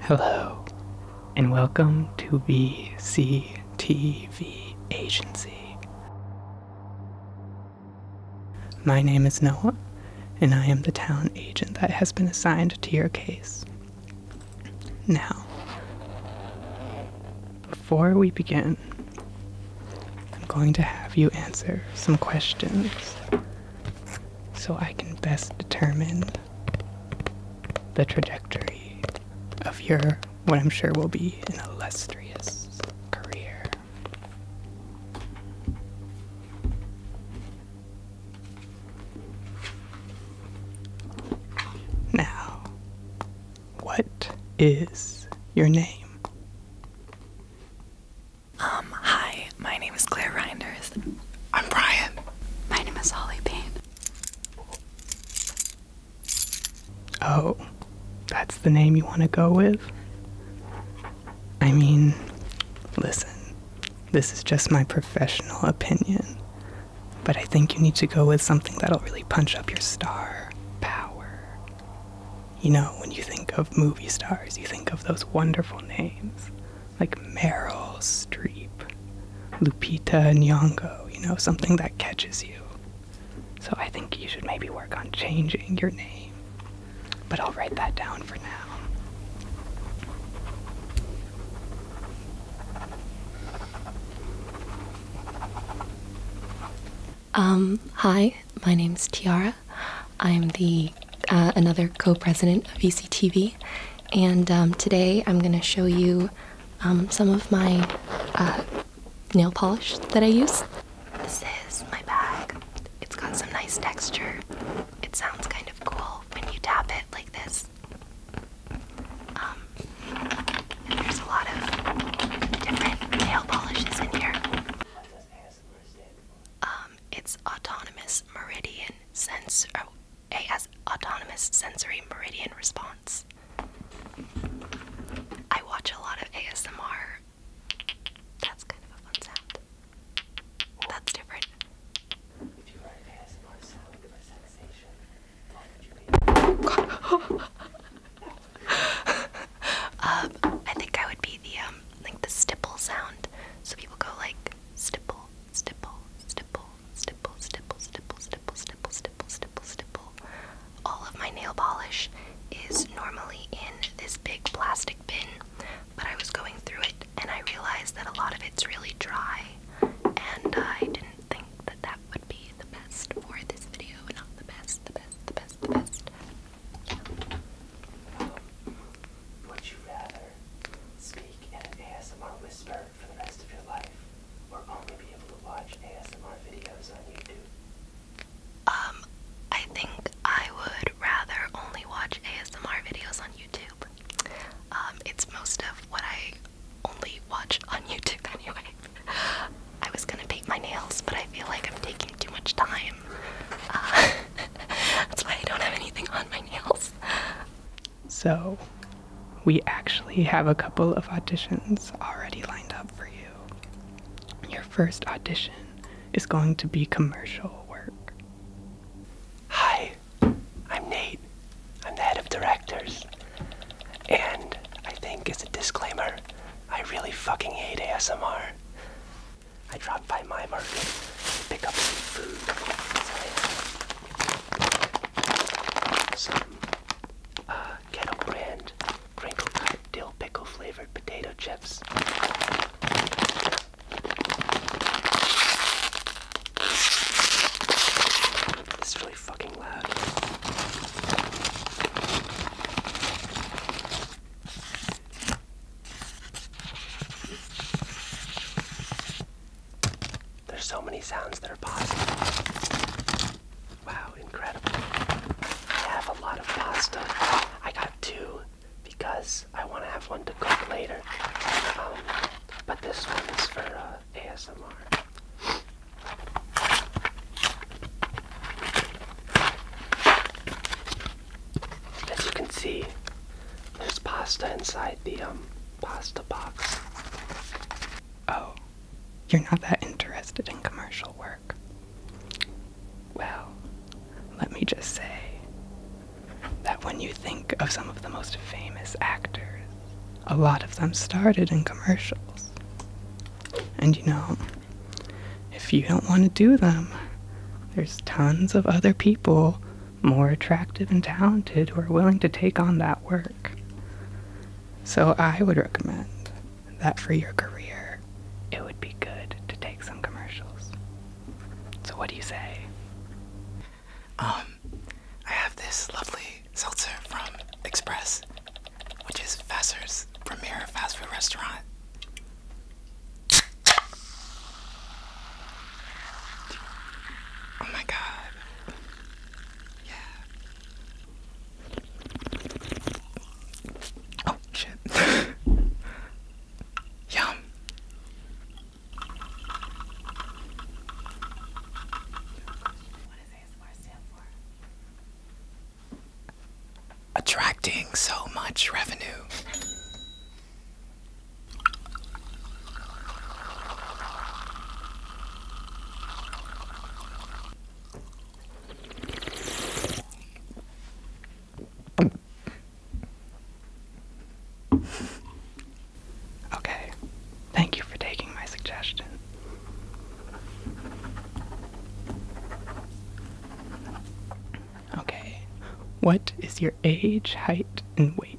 Hello, and welcome to BCTV Agency. My name is Noah, and I am the talent agent that has been assigned to your case. Now, before we begin, I'm going to have you answer some questions so I can best determine the trajectory of your, what I'm sure will be an illustrious career. Now, what is your name? Um, hi, my name is Claire Reinders. I'm Brian. My name is Holly Payne. Oh, that's the name you want to go with? I mean, listen, this is just my professional opinion, but I think you need to go with something that'll really punch up your star power. You know, when you think of movie stars, you think of those wonderful names like Meryl Streep, Lupita Nyong'o, you know, something that catches you. So I think you should maybe work on changing your name. But I'll write that down for now. Um, hi, my name's Tiara. I'm the uh, another co-president of ECTV, and um, today I'm going to show you um, some of my uh, nail polish that I use. This is my bag. It's got some nice texture. It sounds kind of cool when you tap it like this. Um, and there's a lot of different nail polishes in here. Um, it's autonomous meridian sense oh, AS autonomous sensory meridian response. I watch a lot of ASMR. That's kind of a fun sound. That's different. If you write an ASMR sound with a sensation, um, I think I would be the um, like the stipple sound. So people go like stipple, stipple, stipple, stipple, stipple, stipple, stipple, stipple, stipple, stipple, stipple. All of my nail polish is normally in this big plastic bin, but I was going through it and I realized that a lot of it's really dry, and I didn't think that that would be the best for this video. Not the best, the best, the best, the best would you rather speak in an ASMR whisper for the rest of your life or only be able to watch ASMR videos on YouTube? Um, I think I would rather only watch ASMR videos on YouTube. Um, it's most of what I only watch on YouTube anyway. I was gonna paint my nails, but I feel like I'm taking too much time uh, that's why I don't have anything on my nails. So, we actually have a couple of auditions already lined up for you. Your first audition is going to be commercial work. Hi, I'm Nate. I'm the head of directors. And I think, as a disclaimer, I really fucking hate ASMR. I dropped by my market to pick up some food. some Kettle uh, Brand crinkle dill pickle flavored potato chips. This is really fucking loud. There's so many sounds that are possible. Wow, incredible. I have a lot of pasta. I got two because I want to have one to cook later. Um, but this one is for uh, ASMR. As you can see, there's pasta inside the um, pasta box. Oh, you're not that interested in commercial work. Well, let me just say that when you think of some of the most famous actors, a lot of them started in commercials. And you know, if you don't want to do them, there's tons of other people more attractive and talented who are willing to take on that work. So I would recommend that for your career, it would be good to take some commercials. So what do you say? Um, I have this lovely seltzer from Express, which is Vassar's premier fast food restaurant. Oh my god. Yeah. Oh shit. Yum. Attracting so much revenue. Okay, thank you for taking my suggestion. Okay. What is your age, height, and weight?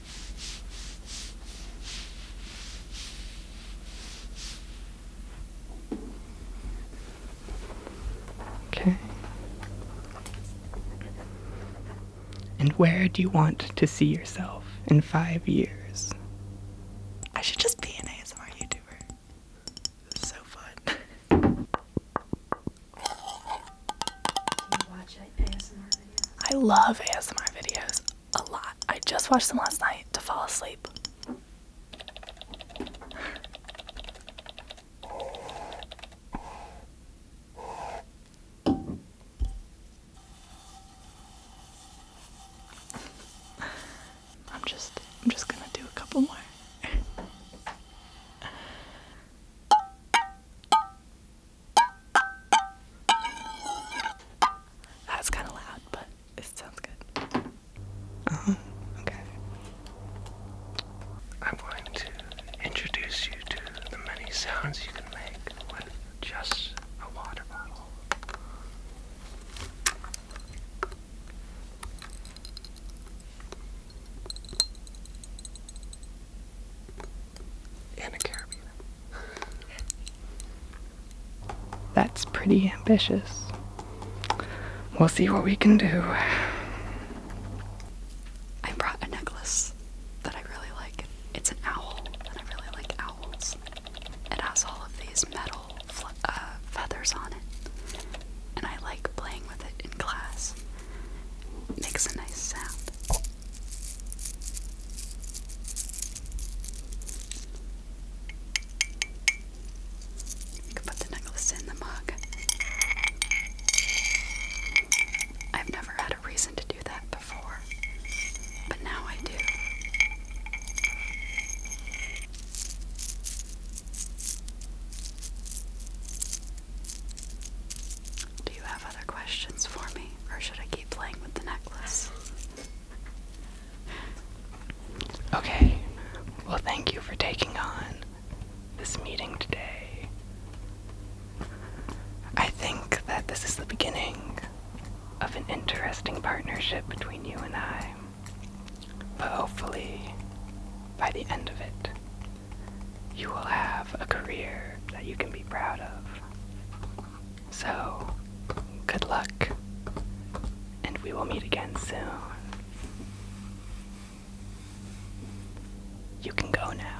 Okay. And where do you want to see yourself in five years? I should just be an ASMR YouTuber. so fun. I love ASMR videos a lot. I just watched them last night to fall asleep. I'm just I'm just going to do a couple more. That's kind of loud, but it sounds good. Oh, okay. I'm going to introduce you to the many sounds you can make with just a water bottle. That's pretty ambitious. We'll see what we can do. I brought a necklace that I really like. It's an owl, and I really like owls. It has all of these metal uh, feathers on it, and I like playing with it in class. makes a nice sound. You can put the necklace in the mug. I've never had a reason to do that before, but now I do. Do you have other questions for me, or should I keep playing with the necklace? Okay. Well, thank you for taking on this meeting today. I think that this is the beginning of an interesting partnership between you and I. But hopefully, by the end of it, you will have a career that you can be proud of. So, good luck, and we will meet again soon. You can go now.